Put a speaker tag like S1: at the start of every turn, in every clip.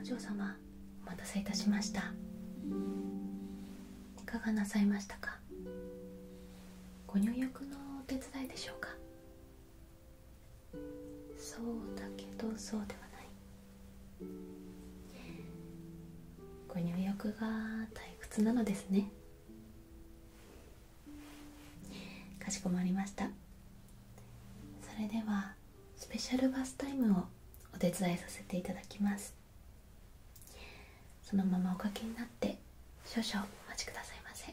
S1: お嬢様お待たせいたしましたいかがなさいましたかご入浴のお手伝いでしょうかそうだけどそうではないご入浴が退屈なのですねかしこまりましたそれではスペシャルバスタイムをお手伝いさせていただきますそのままおかけになって少々お待ちくださいませ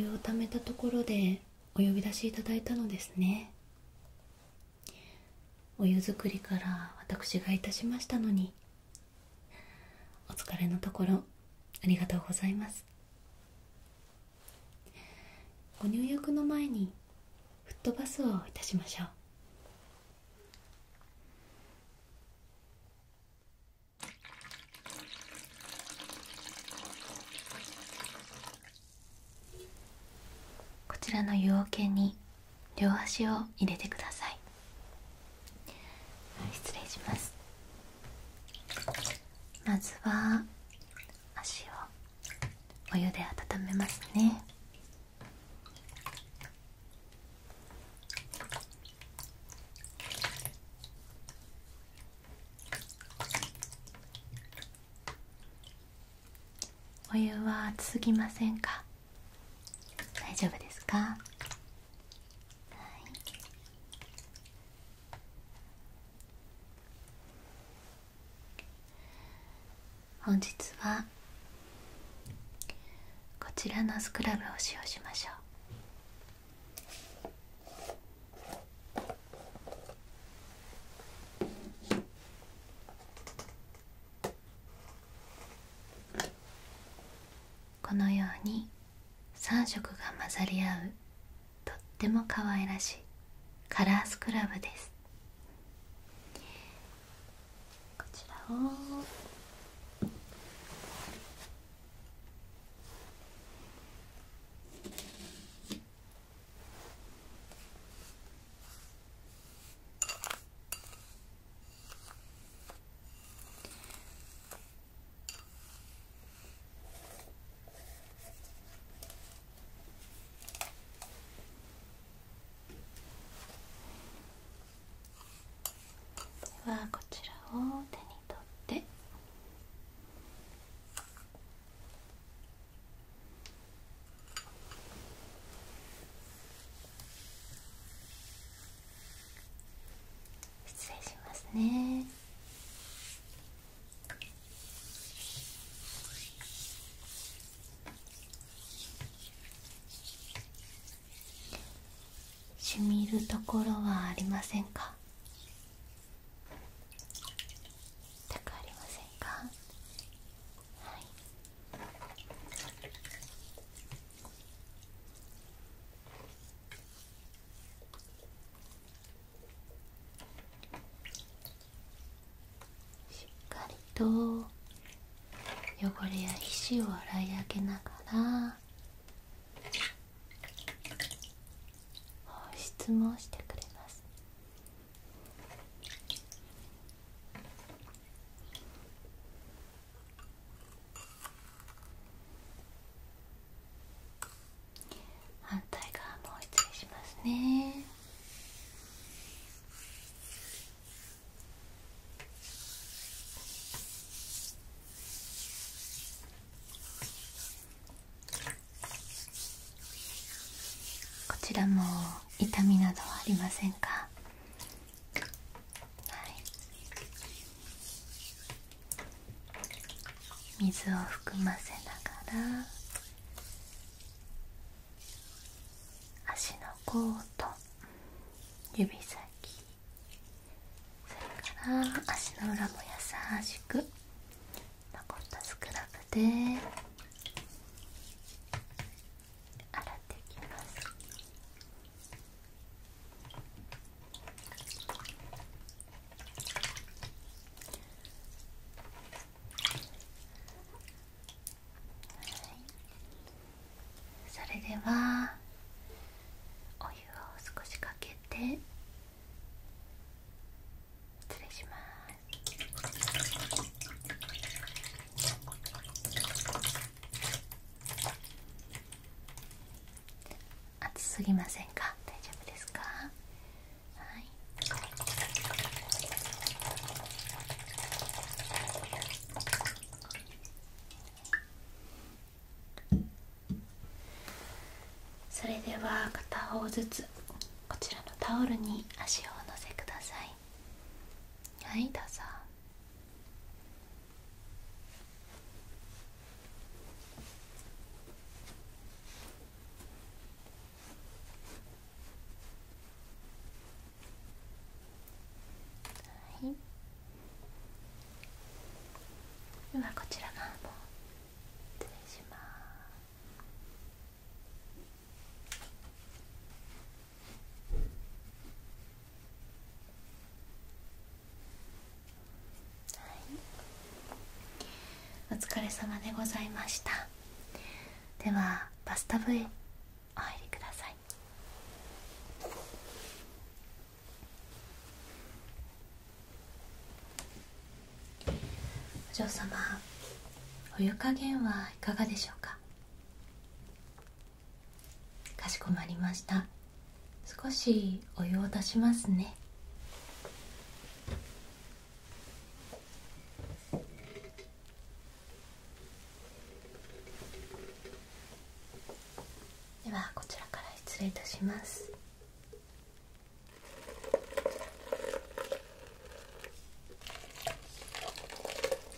S1: お湯をためたところでお呼び出しいただいたのですねお湯作りから私がいたしましたのにお疲れのところありがとうございますご入浴の前にフットバスをいたしましょうこちらの湯桶に両足を入れてください失礼しますまずは足をお湯で温めますねお湯は熱すぎませんか大丈夫ですかはい本日はこちらのスクラブを使用しましょうこのように3色が混ざり合うとっても可愛らしいカラースクラブですこちらをではこちらを手に取って失礼しますねしみるところはありませんか全くありませんかはいしっかりと汚れや皮脂を洗い上げながら保湿もしてくれます反対側も失礼しますねこちらも痛みなどはありませんか水を含ませながら足の甲と指先それから足の裏も優しく残ったスクラブで。洗っていきます。はい。それではお湯を少しかけて失礼します熱すぎませんか大丈夫ですかはいそれでは片方ずつこちらのタオルに足を乗せくださいはいどうぞはいではこちら側も失礼しますお疲れ様でございましたではバスタブへお入りくださいお嬢様お湯加減はいかがでしょうかかしこまりました少しお湯を足しますねではこちらから失礼いたします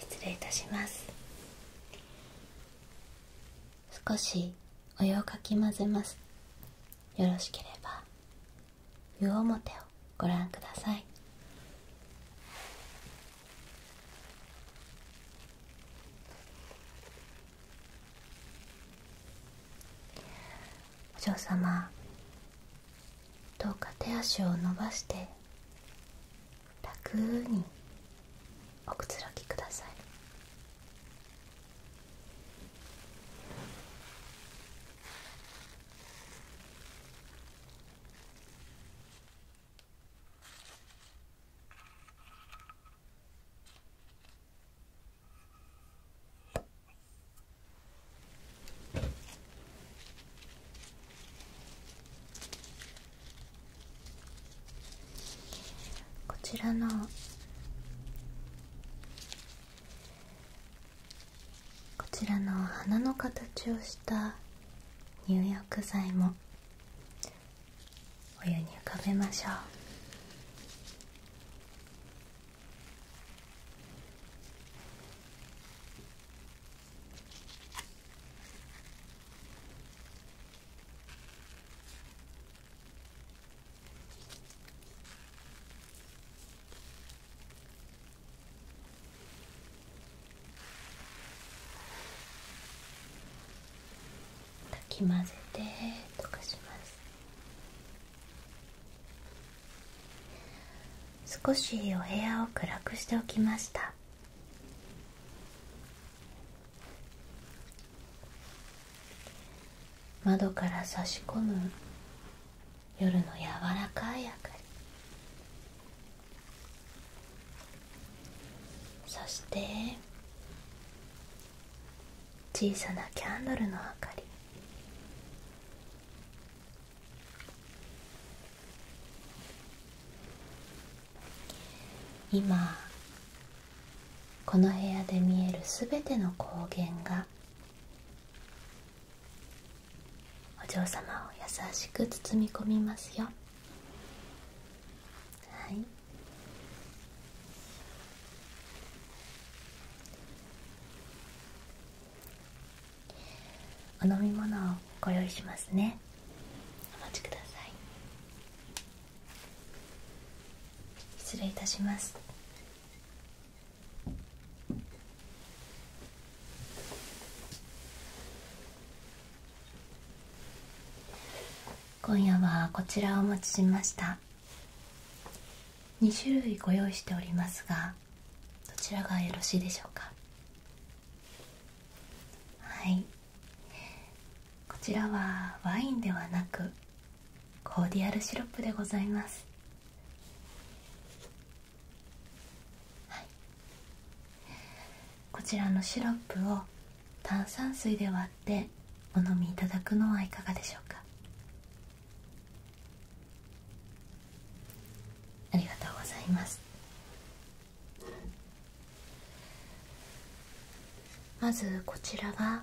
S1: 失礼いたします少しお湯をかき混ぜますよろしければ湯表をご覧くださいお嬢様どうか手足を伸ばして楽におくつろぎくださいこちらのこちらの花の形をした入浴剤もお湯に浮かべましょうかき混ぜて溶かします少しお部屋を暗くしておきました窓から差し込む夜の柔らかい明かりそして小さなキャンドルの明かり今この部屋で見えるすべての光源がお嬢様を優しく包み込みますよはいお飲み物をご用意しますねお待ちください失礼いたします今夜はこちらをお持ちしました2種類ご用意しておりますがどちらがよろしいでしょうかはいこちらはワインではなくコーディアルシロップでございますこちらのシロップを炭酸水で割ってお飲みいただくのはいかがでしょうかありがとうございますまずこちらは。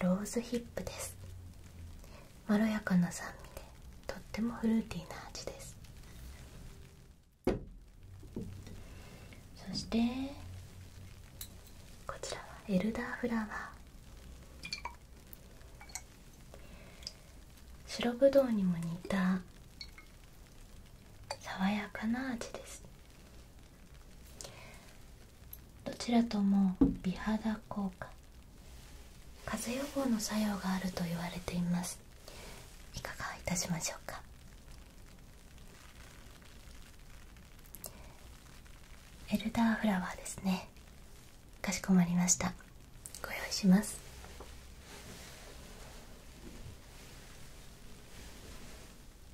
S1: ローズヒップですまろやかな酸味でとってもフルーティーな味ですそしてこちらはエルダーフラワー白ぶどうにも似た爽やかな味ですどちらとも美肌効果風邪予防の作用があると言われていますいかがいたしましょうかエルダーフラワーですねかしこまりましたご用意します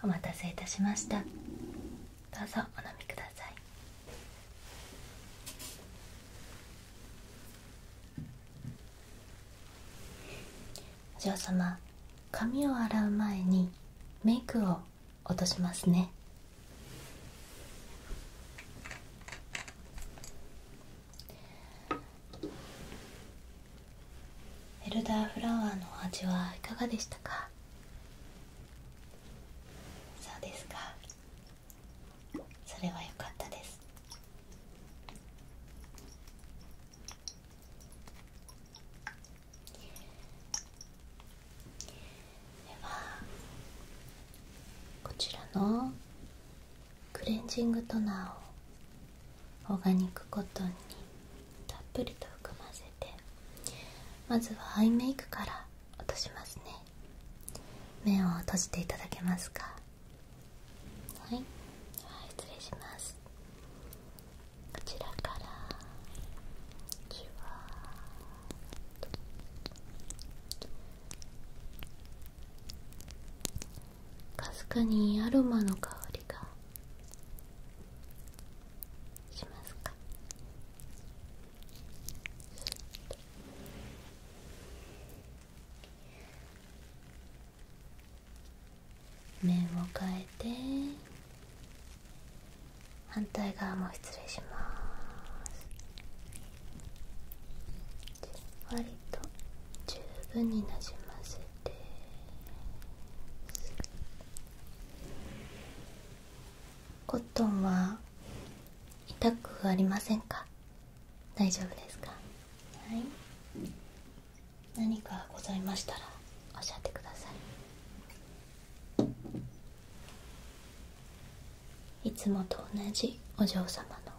S1: お待たせいたしましたどうぞお飲みくださいお嬢様髪を洗う前にメイクを落としますねエルダーフラワーの味はいかがでしたかそうですかそれは良かったですではこちらのクレンジングトナーをオーガニックコトンにたっぷりと含ませてまずはアイメイクから落としますね目を閉じていただけますかはい、はい、失礼しますこちらからじわっとかすかにアロマの香りがしますか面を変えて反対側も失礼します割と十分になじませてコットンは痛くありませんか大丈夫ですかはい何かございましたらおっしゃってくださいいつもと同じお嬢様の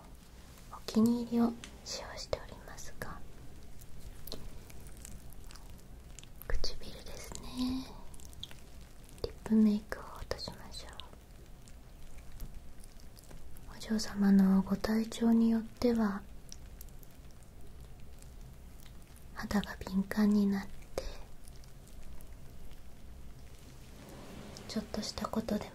S1: お気に入りを使用しておりますが唇ですねリップメイクを落としましょうお嬢様のご体調によっては肌が敏感になってちょっとしたことでも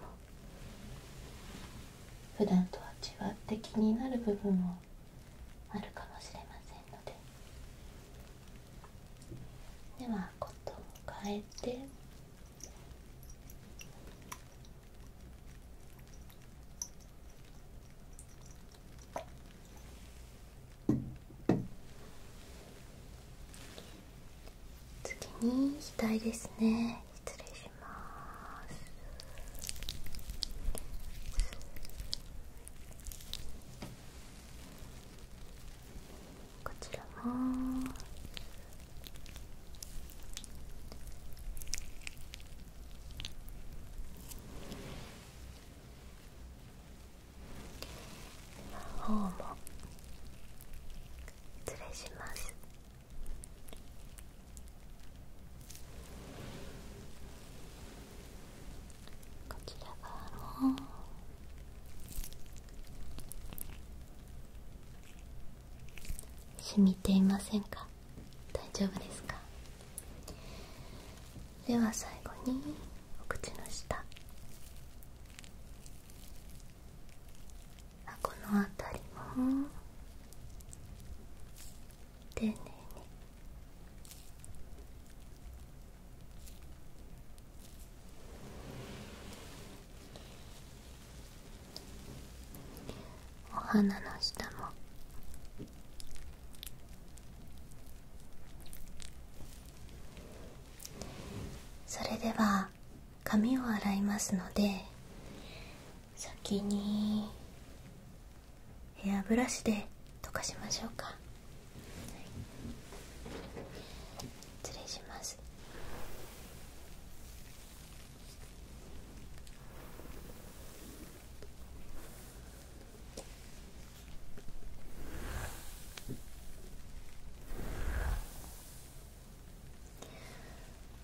S1: 普段とは違って気になる部分もあるかもしれませんのでではコッを変えて次に額ですね失礼しますこちらも失礼しますこちら側も染みていませんか大丈夫ですかでは最後にお口の下あこの辺りも丁寧にお花の下もそれでは髪を洗いますので先にヘアブラシで溶かしましょうか、はい、失礼します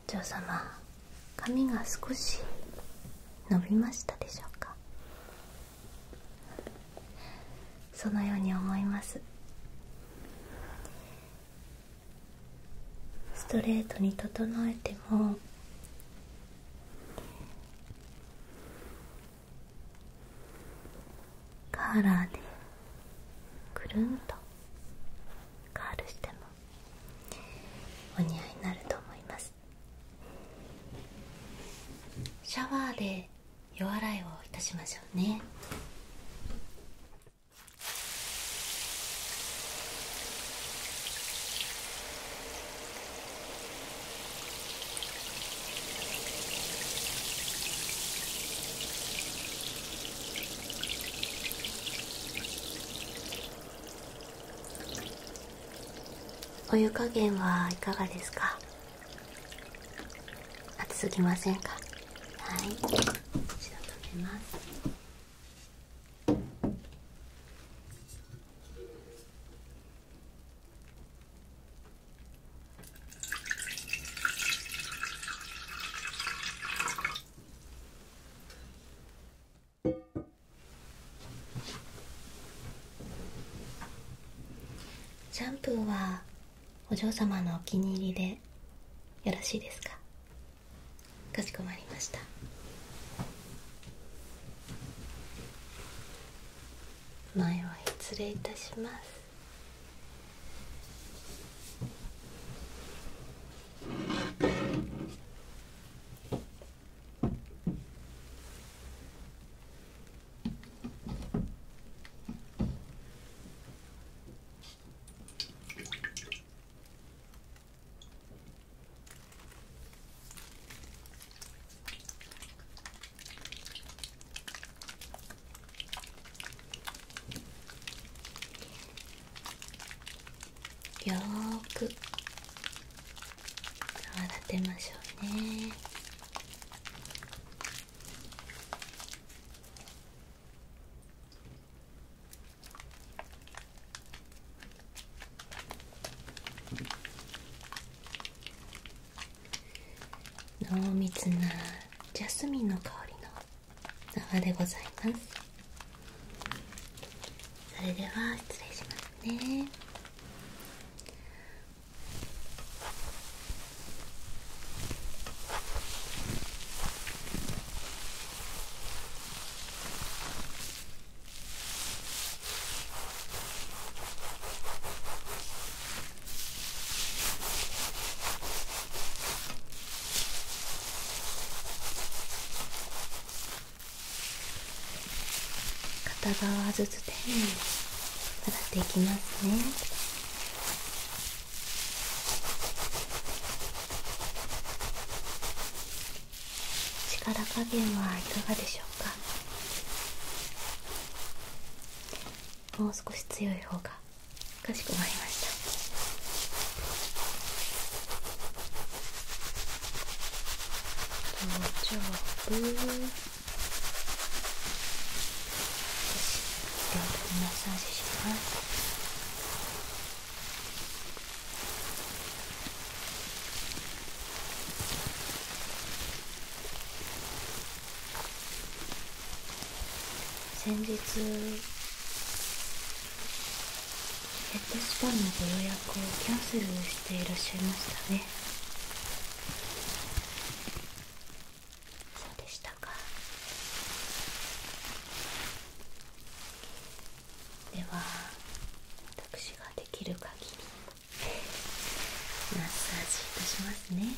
S1: お嬢様髪が少し伸びましたでしょうかそのように思いますストレートに整えてもカーラーでくるんとカールしてもお似合いになると思いますシャワーで夜洗いをいたしましょうねお湯加減はいかがですか熱すぎませんかはい一度止めますシャンプーはお嬢様のお気に入りでよろしいですかかしこまりました前は失礼いたしますよく泡立てましょうね。濃密なジャスミンの香りの泡でございますそれでは失礼しますね片側ずつ丁寧に洗っていきますね。力加減はいかがでしょうかもう少し強い方がかしこまりました頭頂部少し両手にマッサージします先日ヘッドスパのご予約をキャンセルしていらっしゃいましたねそうでしたでは私ができる限りマッサージいたしますね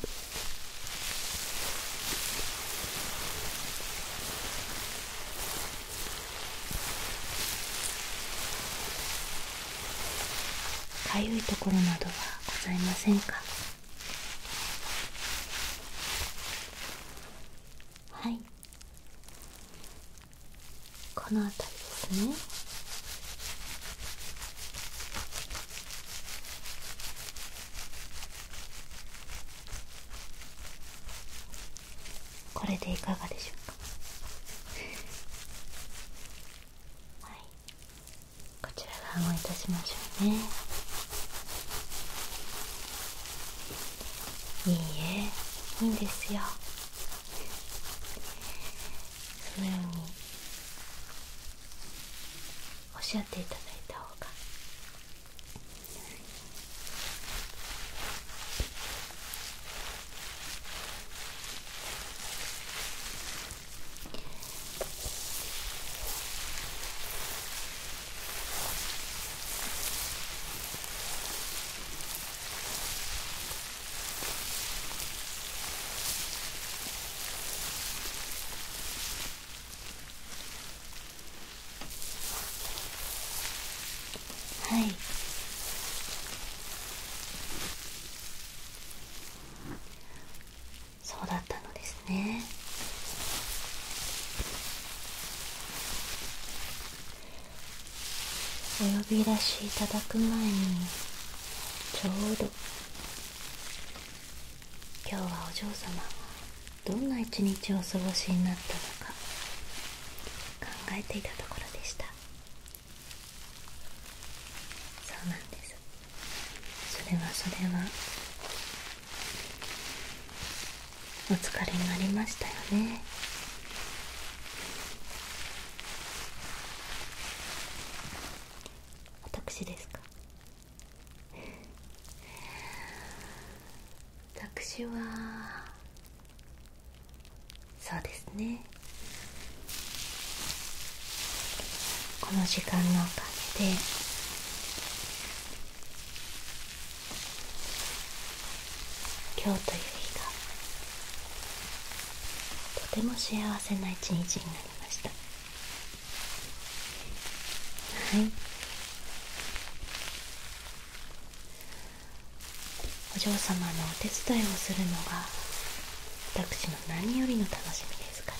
S1: かゆいところなどはございませんかはいこの辺りですねこれでいかがでしょうかはいこちら側もいたしましょうねいいえいいんですよそのようにおっしゃっていただいた方がはいそうだったのですですねお呼び出しいただく前にちょうど今日はお嬢様どんな一日をお過ごしになったのか考えていたところでしたそうなんですそれはそれはお疲れになりましたよね私ですか 私はそうですねこの時間のおかげで今日という日がとても幸せな一日になりましたはいお嬢様のお手伝いをするのが私の何よりの楽しみですから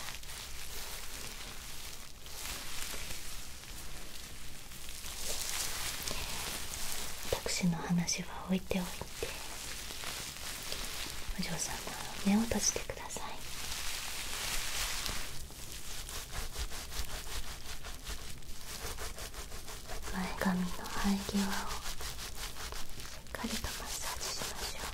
S1: 私の話は置いておいてお嬢様目を閉じてください前髪の生え際をしっかりとマッサージしましょう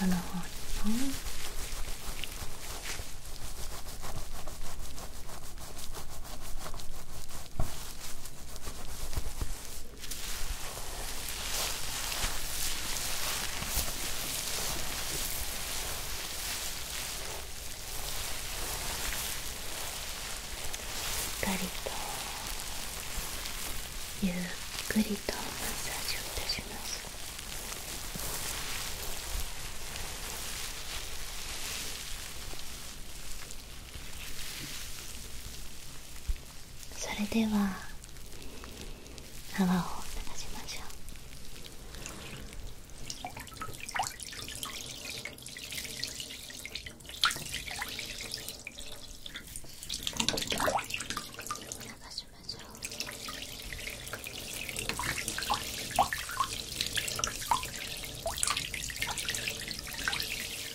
S1: 後ろの方にもこしっかりとゆっくりとマッサージをいたしますそれでは泡を流しましょう流しましょう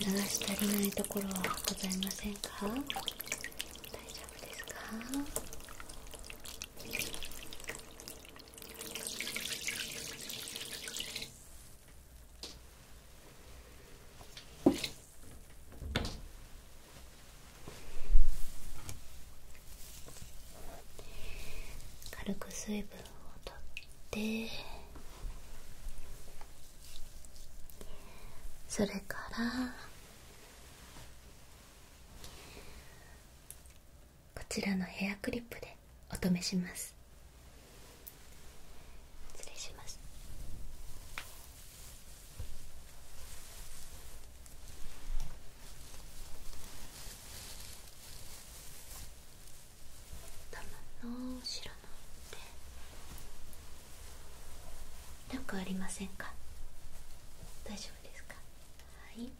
S1: 流し足りないところはございませんか大丈夫ですか軽く水分を取ってそれからこちらのヘアクリップでお試します失礼します頭の後ろの手なんかありませんか大丈夫ですかはい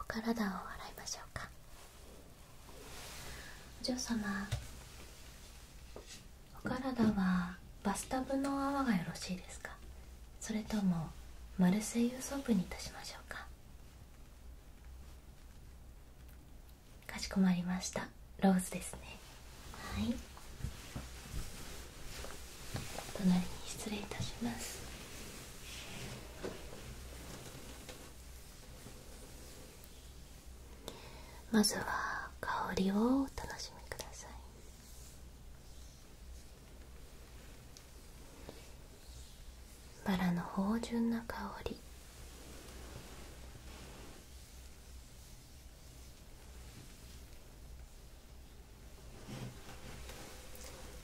S1: お体を洗いましょうかお嬢様お体はバスタブの泡がよろしいですかそれともマルセイユソープにいたしましょうかかしこまりましたローズですねはい隣に失礼いたしますまずは香りをお楽しみくださいバラの芳醇な香り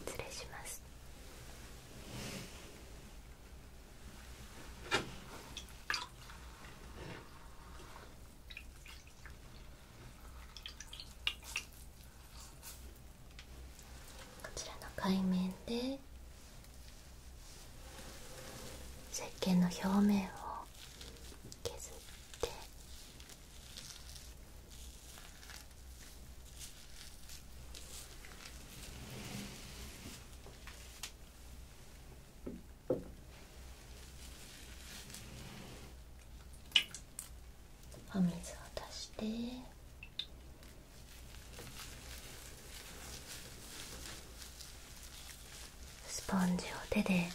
S1: 失礼しますこちらの海面で石鹸の表面を削ってお水を足してスポンジを手で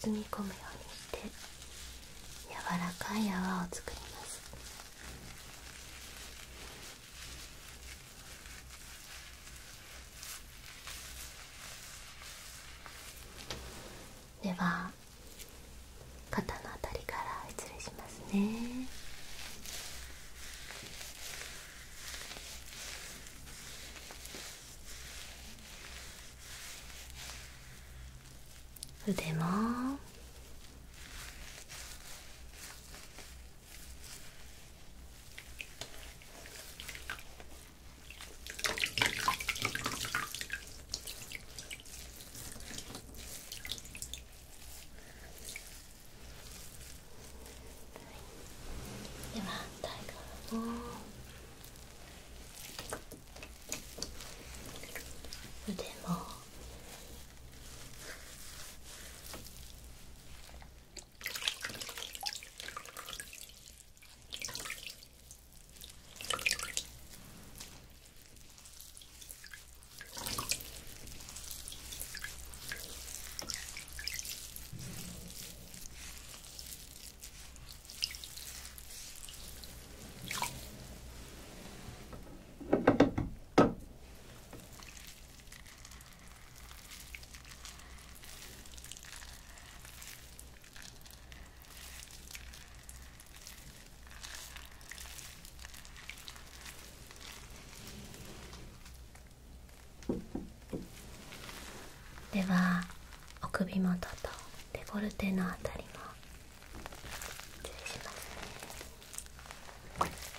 S1: 包み込むようにして柔らかい泡を作りますでは肩のあたりから失礼しますね腕もでは反対側も。腕もではお首元とデコルテのあたりも注意します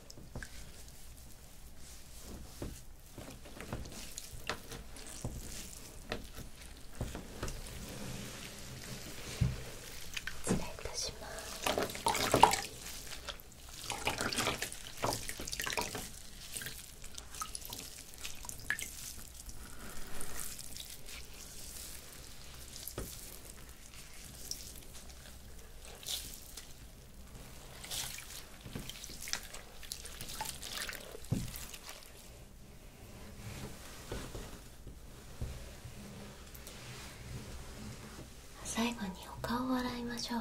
S1: 失礼いたします。最後にお顔を洗いましょう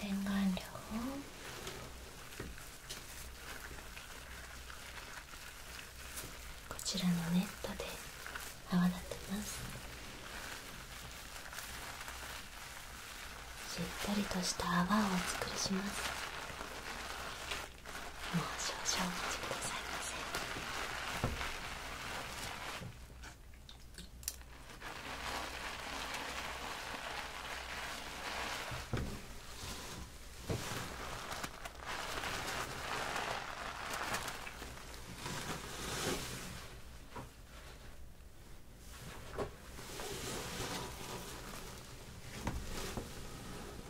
S1: 洗顔料をこちらのネットで泡立てますしっとりとした泡をお作りしますもう少々お待ちくださいませこ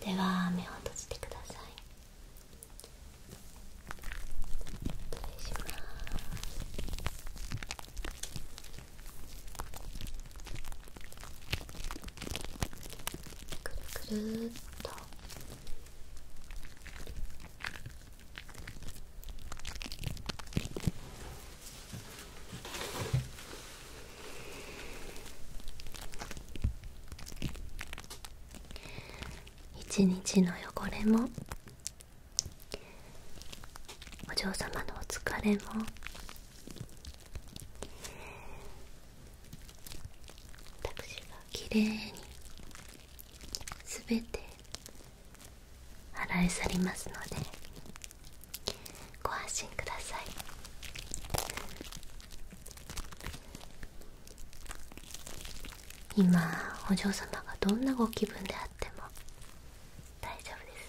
S1: では目を閉じてくださいくるくるっと一日の汚れもお嬢様のお疲れも私がきれにすて洗い去りますのでご安心ください今お嬢様がどんなご気分であっても大丈夫です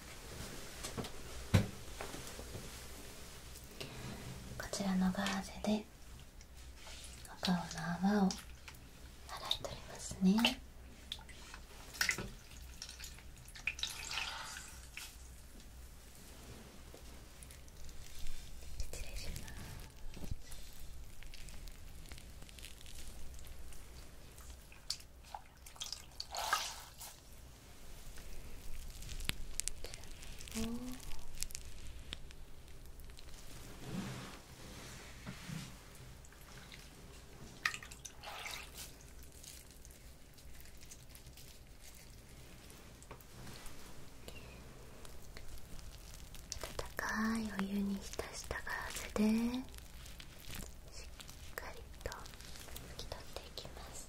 S1: こちらのガーゼでお顔の泡を洗い取りますね失礼しますちらも温かいお湯に浸したガラスでしっかりと拭き取っていきます。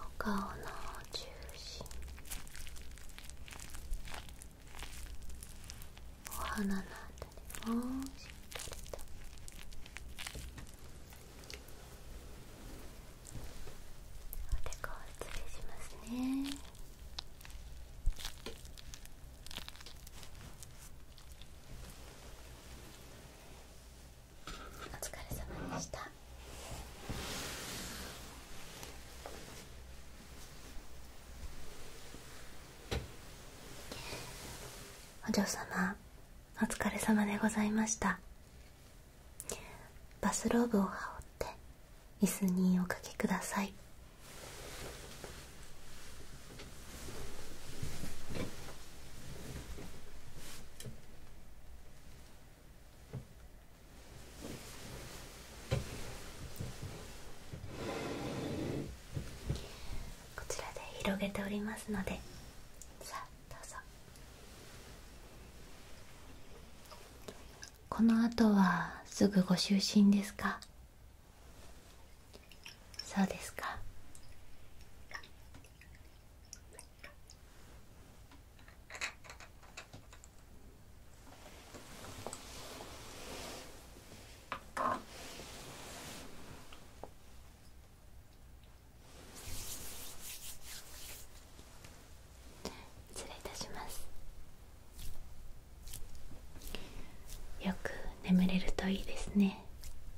S1: お顔の中心お鼻のあたりもしっかりとおでこを失礼しますねお疲れ様でしたお嬢様お疲れ様でございましたバスローブを羽織って椅子におかけくださいこちらで広げておりますのでさあどうぞこの後はすぐご就寝ですかそうですか失礼いたしますよく眠れるといいですね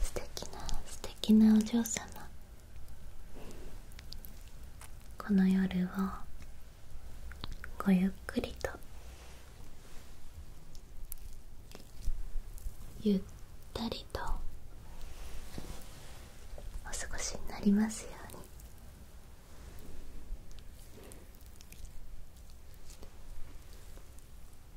S1: 素敵な素敵なお嬢様この夜をごゆっくりとゆったりとお過ごしになりますように